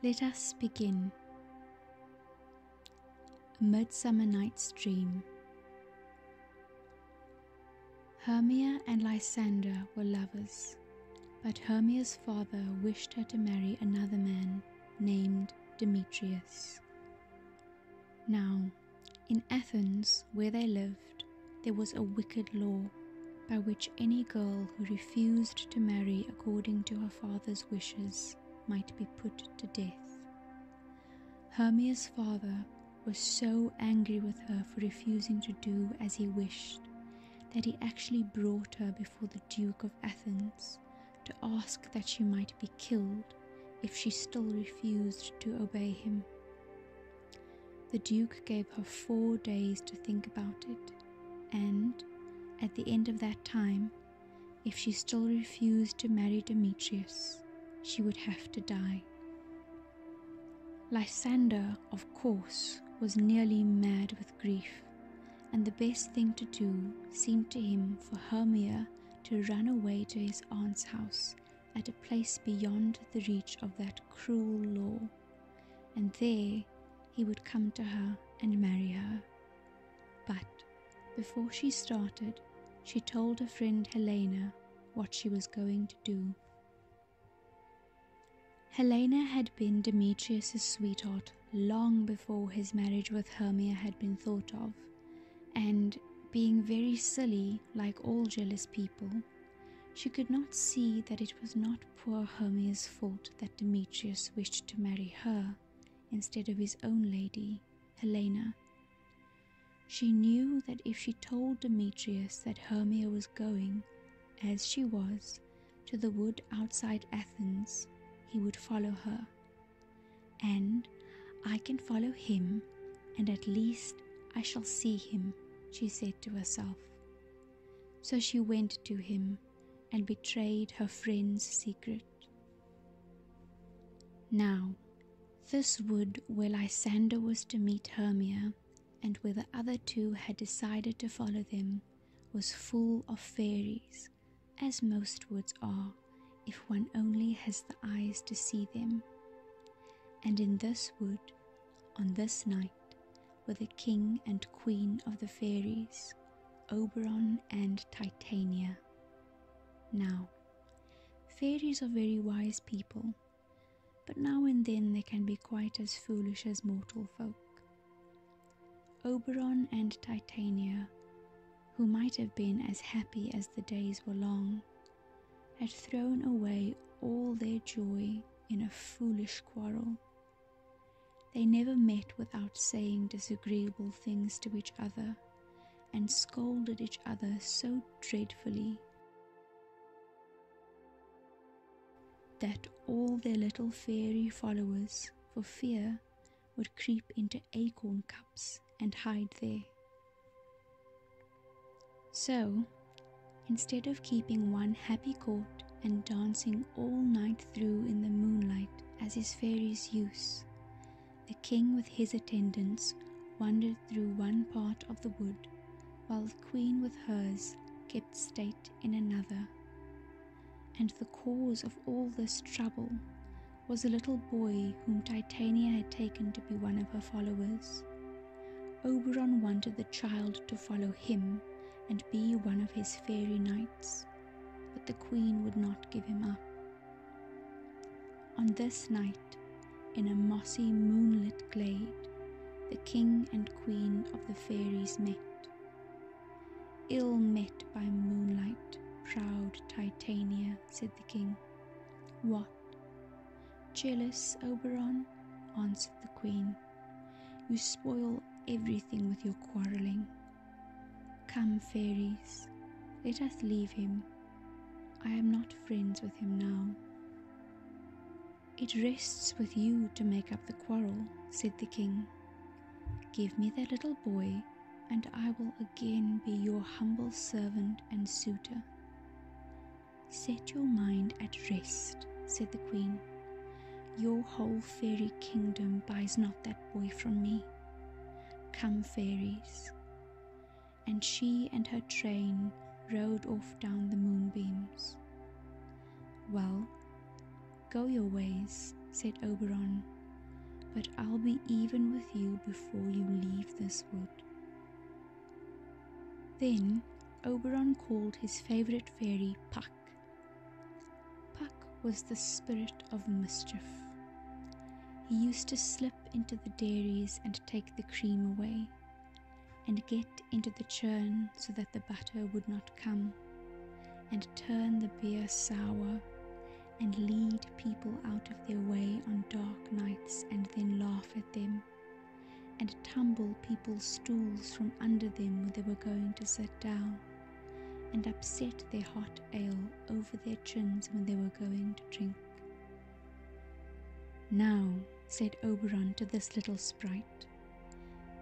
Let us begin. A Midsummer Night's Dream. Hermia and Lysander were lovers, but Hermia's father wished her to marry another man named Demetrius. Now, in Athens, where they lived, there was a wicked law by which any girl who refused to marry according to her father's wishes might be put to death. Hermia's father was so angry with her for refusing to do as he wished that he actually brought her before the Duke of Athens, to ask that she might be killed if she still refused to obey him. The Duke gave her four days to think about it, and, at the end of that time, if she still refused to marry Demetrius, she would have to die. Lysander, of course, was nearly mad with grief and the best thing to do seemed to him for Hermia to run away to his aunt's house at a place beyond the reach of that cruel law, and there he would come to her and marry her. But before she started, she told her friend Helena what she was going to do. Helena had been Demetrius's sweetheart long before his marriage with Hermia had been thought of, and being very silly, like all jealous people, she could not see that it was not poor Hermia's fault that Demetrius wished to marry her instead of his own lady, Helena. She knew that if she told Demetrius that Hermia was going, as she was, to the wood outside Athens, he would follow her and I can follow him, and at least I shall see him, she said to herself. So she went to him and betrayed her friend's secret. Now, this wood where Lysander was to meet Hermia, and where the other two had decided to follow them, was full of fairies as most woods are, if one only has the eyes to see them. And in this wood, on this night, were the king and queen of the fairies, Oberon and Titania. Now, fairies are very wise people, but now and then they can be quite as foolish as mortal folk. Oberon and Titania, who might have been as happy as the days were long, had thrown away all their joy in a foolish quarrel. They never met without saying disagreeable things to each other and scolded each other so dreadfully that all their little fairy followers, for fear, would creep into acorn cups and hide there. So, instead of keeping one happy court and dancing all night through in the moonlight as his fairies' use, the king with his attendants wandered through one part of the wood, while the queen with hers kept state in another. And the cause of all this trouble was a little boy whom Titania had taken to be one of her followers. Oberon wanted the child to follow him and be one of his fairy knights, but the queen would not give him up. On this night, in a mossy moonlit glade, the king and queen of the fairies met. Ill met by moonlight, proud Titania, said the king. What? Jealous, Oberon? answered the queen. You spoil everything with your quarrelling. Come, fairies, let us leave him. I am not friends with him now. It rests with you to make up the quarrel, said the king. Give me that little boy, and I will again be your humble servant and suitor. Set your mind at rest, said the queen. Your whole fairy kingdom buys not that boy from me. Come, fairies. And she and her train rode off down the moonbeams. Well, Go your ways, said Oberon, but I'll be even with you before you leave this wood. Then Oberon called his favorite fairy Puck. Puck was the spirit of mischief. He used to slip into the dairies and take the cream away, and get into the churn so that the butter would not come, and turn the beer sour, and lead people out of their way on dark nights, and then laugh at them, and tumble people's stools from under them when they were going to sit down, and upset their hot ale over their chins when they were going to drink. Now, said Oberon to this little sprite,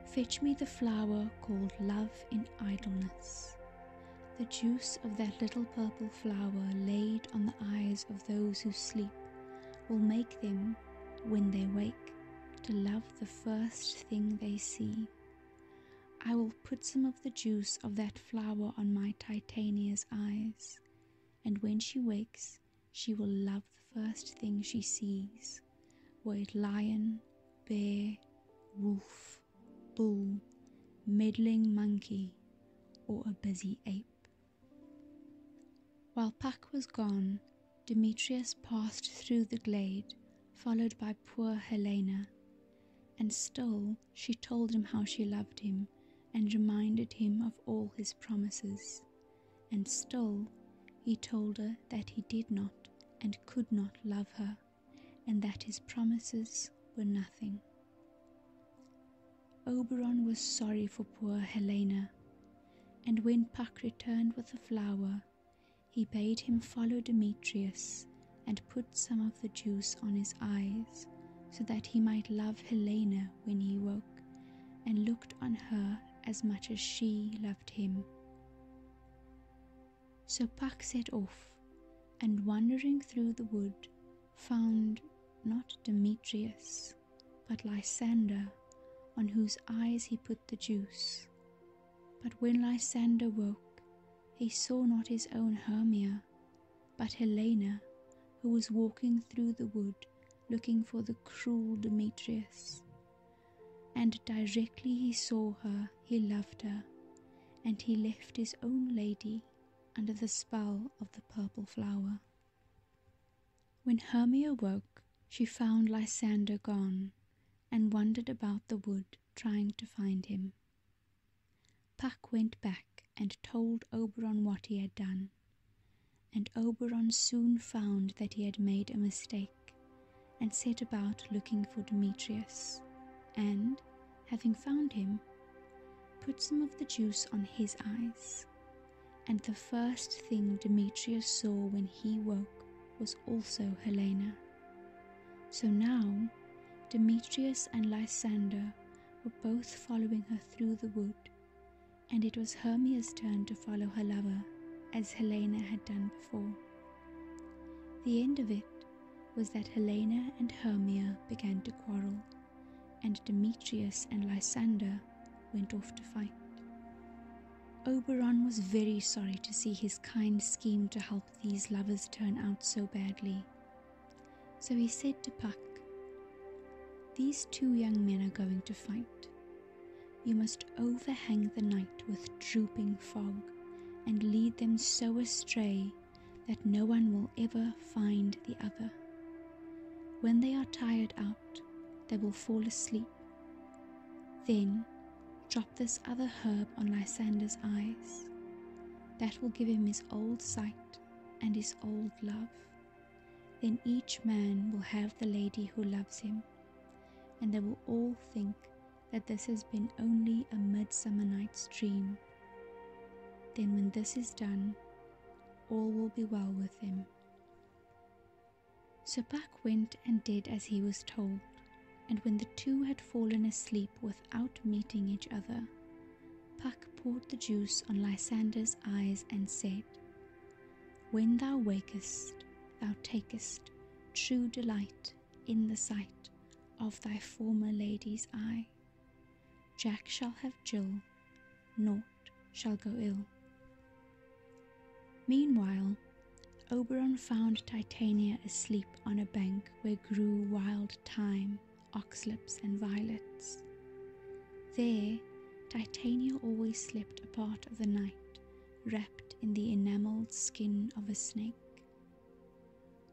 fetch me the flower called love in idleness the juice of that little purple flower laid on the eyes of those who sleep will make them, when they wake, to love the first thing they see. I will put some of the juice of that flower on my Titania's eyes, and when she wakes, she will love the first thing she sees, were it lion, bear, wolf, bull, meddling monkey, or a busy ape. While Puck was gone, Demetrius passed through the glade, followed by poor Helena, and still she told him how she loved him and reminded him of all his promises, and still he told her that he did not and could not love her and that his promises were nothing. Oberon was sorry for poor Helena, and when Puck returned with the flower, he bade him follow Demetrius and put some of the juice on his eyes, so that he might love Helena when he woke, and looked on her as much as she loved him. So Pak set off, and wandering through the wood, found not Demetrius, but Lysander, on whose eyes he put the juice. But when Lysander woke, he saw not his own Hermia, but Helena, who was walking through the wood looking for the cruel Demetrius, and directly he saw her, he loved her, and he left his own lady under the spell of the purple flower. When Hermia woke, she found Lysander gone and wandered about the wood trying to find him. Puck went back and told Oberon what he had done, and Oberon soon found that he had made a mistake and set about looking for Demetrius, and, having found him, put some of the juice on his eyes. And the first thing Demetrius saw when he woke was also Helena. So now, Demetrius and Lysander were both following her through the wood, and it was Hermia's turn to follow her lover, as Helena had done before. The end of it was that Helena and Hermia began to quarrel, and Demetrius and Lysander went off to fight. Oberon was very sorry to see his kind scheme to help these lovers turn out so badly. So he said to Puck, These two young men are going to fight. You must overhang the night with drooping fog and lead them so astray that no one will ever find the other. When they are tired out, they will fall asleep. Then drop this other herb on Lysander's eyes. That will give him his old sight and his old love. Then each man will have the lady who loves him, and they will all think that this has been only a midsummer night's dream, then when this is done, all will be well with him. So Puck went and did as he was told, and when the two had fallen asleep without meeting each other, Puck poured the juice on Lysander's eyes and said, When thou wakest, thou takest true delight in the sight of thy former lady's eye. Jack shall have Jill, naught shall go ill. Meanwhile, Oberon found Titania asleep on a bank where grew wild thyme, oxlips, and violets. There, Titania always slept a part of the night, wrapped in the enameled skin of a snake.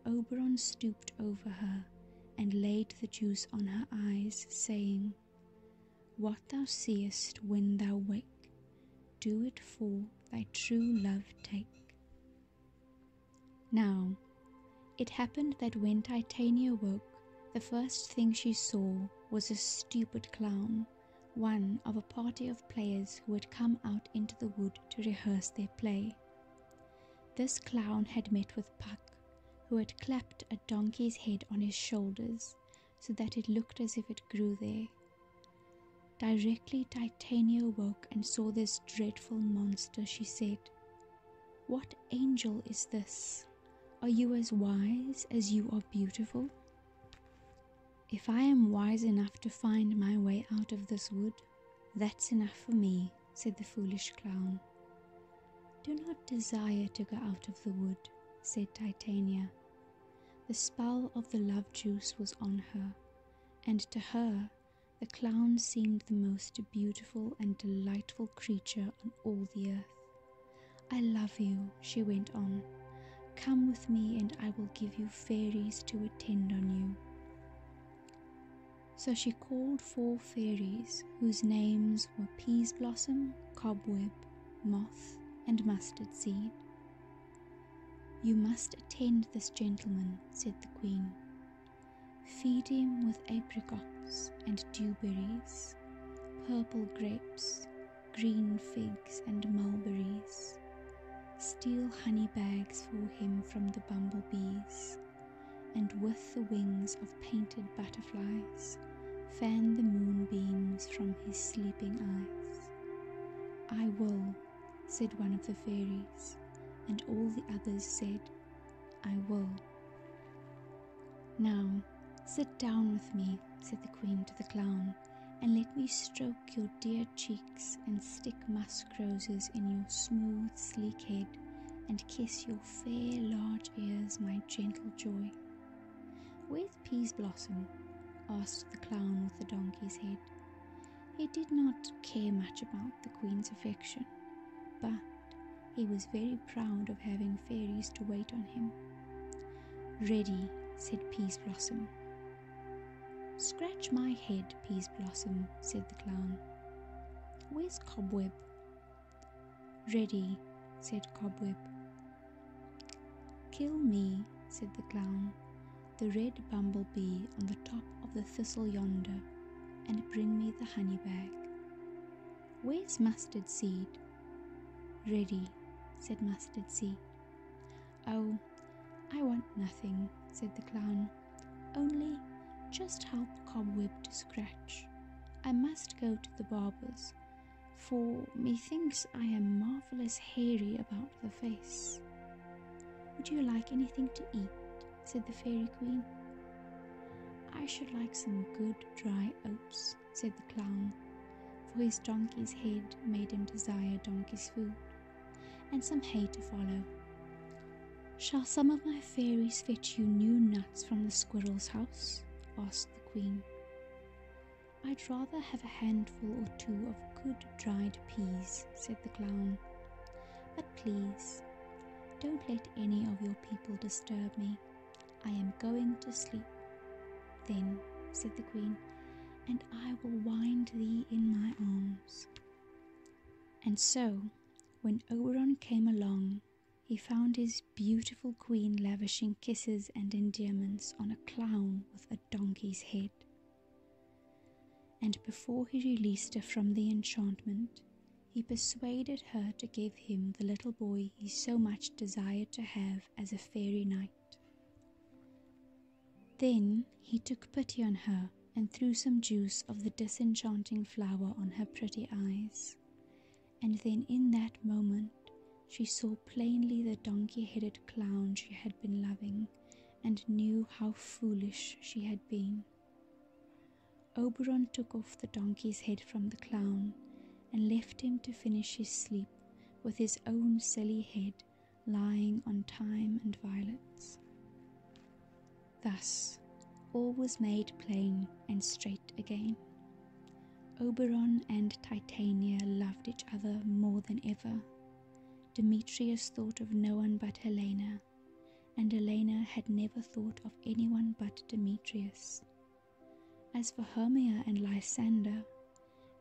Oberon stooped over her and laid the juice on her eyes, saying, What thou seest when thou wake, do it for thy true love take. Now, it happened that when Titania woke, the first thing she saw was a stupid clown one of a party of players who had come out into the wood to rehearse their play. This clown had met with Puck, who had clapped a donkey's head on his shoulders so that it looked as if it grew there. Directly Titania woke and saw this dreadful monster, she said, What angel is this? Are you as wise as you are beautiful? If I am wise enough to find my way out of this wood, that's enough for me, said the foolish clown. Do not desire to go out of the wood, said Titania. The spell of the love juice was on her, and to her the clown seemed the most beautiful and delightful creature on all the earth. I love you, she went on. Come with me, and I will give you fairies to attend on you. So she called four fairies, whose names were Peas Cobweb, Moth, and Mustard Seed. You must attend this gentleman, said the queen. Feed him with apricots and dewberries, purple grapes, green figs and mulberries, steal honey bags for him from the bumblebees, and with the wings of painted butterflies, fan the moonbeams from his sleeping eyes. I will, said one of the fairies, and all the others said, I will. Now, sit down with me, said the queen to the clown and let me stroke your dear cheeks and stick musk roses in your smooth, sleek head and kiss your fair, large ears, my gentle joy. Where's Peas Blossom? asked the clown with the donkey's head. He did not care much about the queen's affection, but he was very proud of having fairies to wait on him. Ready, said Peas Blossom, Scratch my head, Peas Blossom, said the clown. Where's Cobweb? Ready, said Cobweb. Kill me, said the clown, the red bumblebee on the top of the thistle yonder, and bring me the honey bag. Where's Mustard Seed? Ready, said Mustard Seed. Oh, I want nothing, said the clown, only just help Cobweb to scratch. I must go to the barber's, for methinks I am marvellous hairy about the face. Would you like anything to eat? said the fairy queen. I should like some good dry oats, said the clown, for his donkey's head made him desire donkey's food, and some hay to follow. Shall some of my fairies fetch you new nuts from the squirrel's house? asked the queen. I'd rather have a handful or two of good dried peas, said the clown. But please, don't let any of your people disturb me. I am going to sleep. Then, said the queen, and I will wind thee in my arms. And so, when Oberon came along, he found his beautiful queen lavishing kisses and endearments on a clown with a donkey's head. And before he released her from the enchantment, he persuaded her to give him the little boy he so much desired to have as a fairy knight. Then he took pity on her and threw some juice of the disenchanting flower on her pretty eyes. And then in that moment she saw plainly the donkey headed clown she had been loving and knew how foolish she had been. Oberon took off the donkey's head from the clown and left him to finish his sleep with his own silly head lying on time and violets. Thus all was made plain and straight again. Oberon and Titania loved each other more than ever. Demetrius thought of no one but Helena, and Helena had never thought of anyone but Demetrius. As for Hermia and Lysander,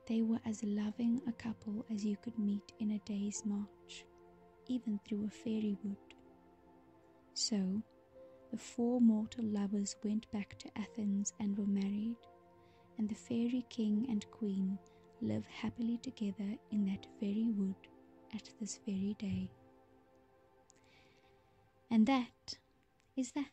they were as loving a couple as you could meet in a day's march, even through a fairy wood. So, the four mortal lovers went back to Athens and were married, and the fairy king and queen live happily together in that very wood at this very day. And that is that.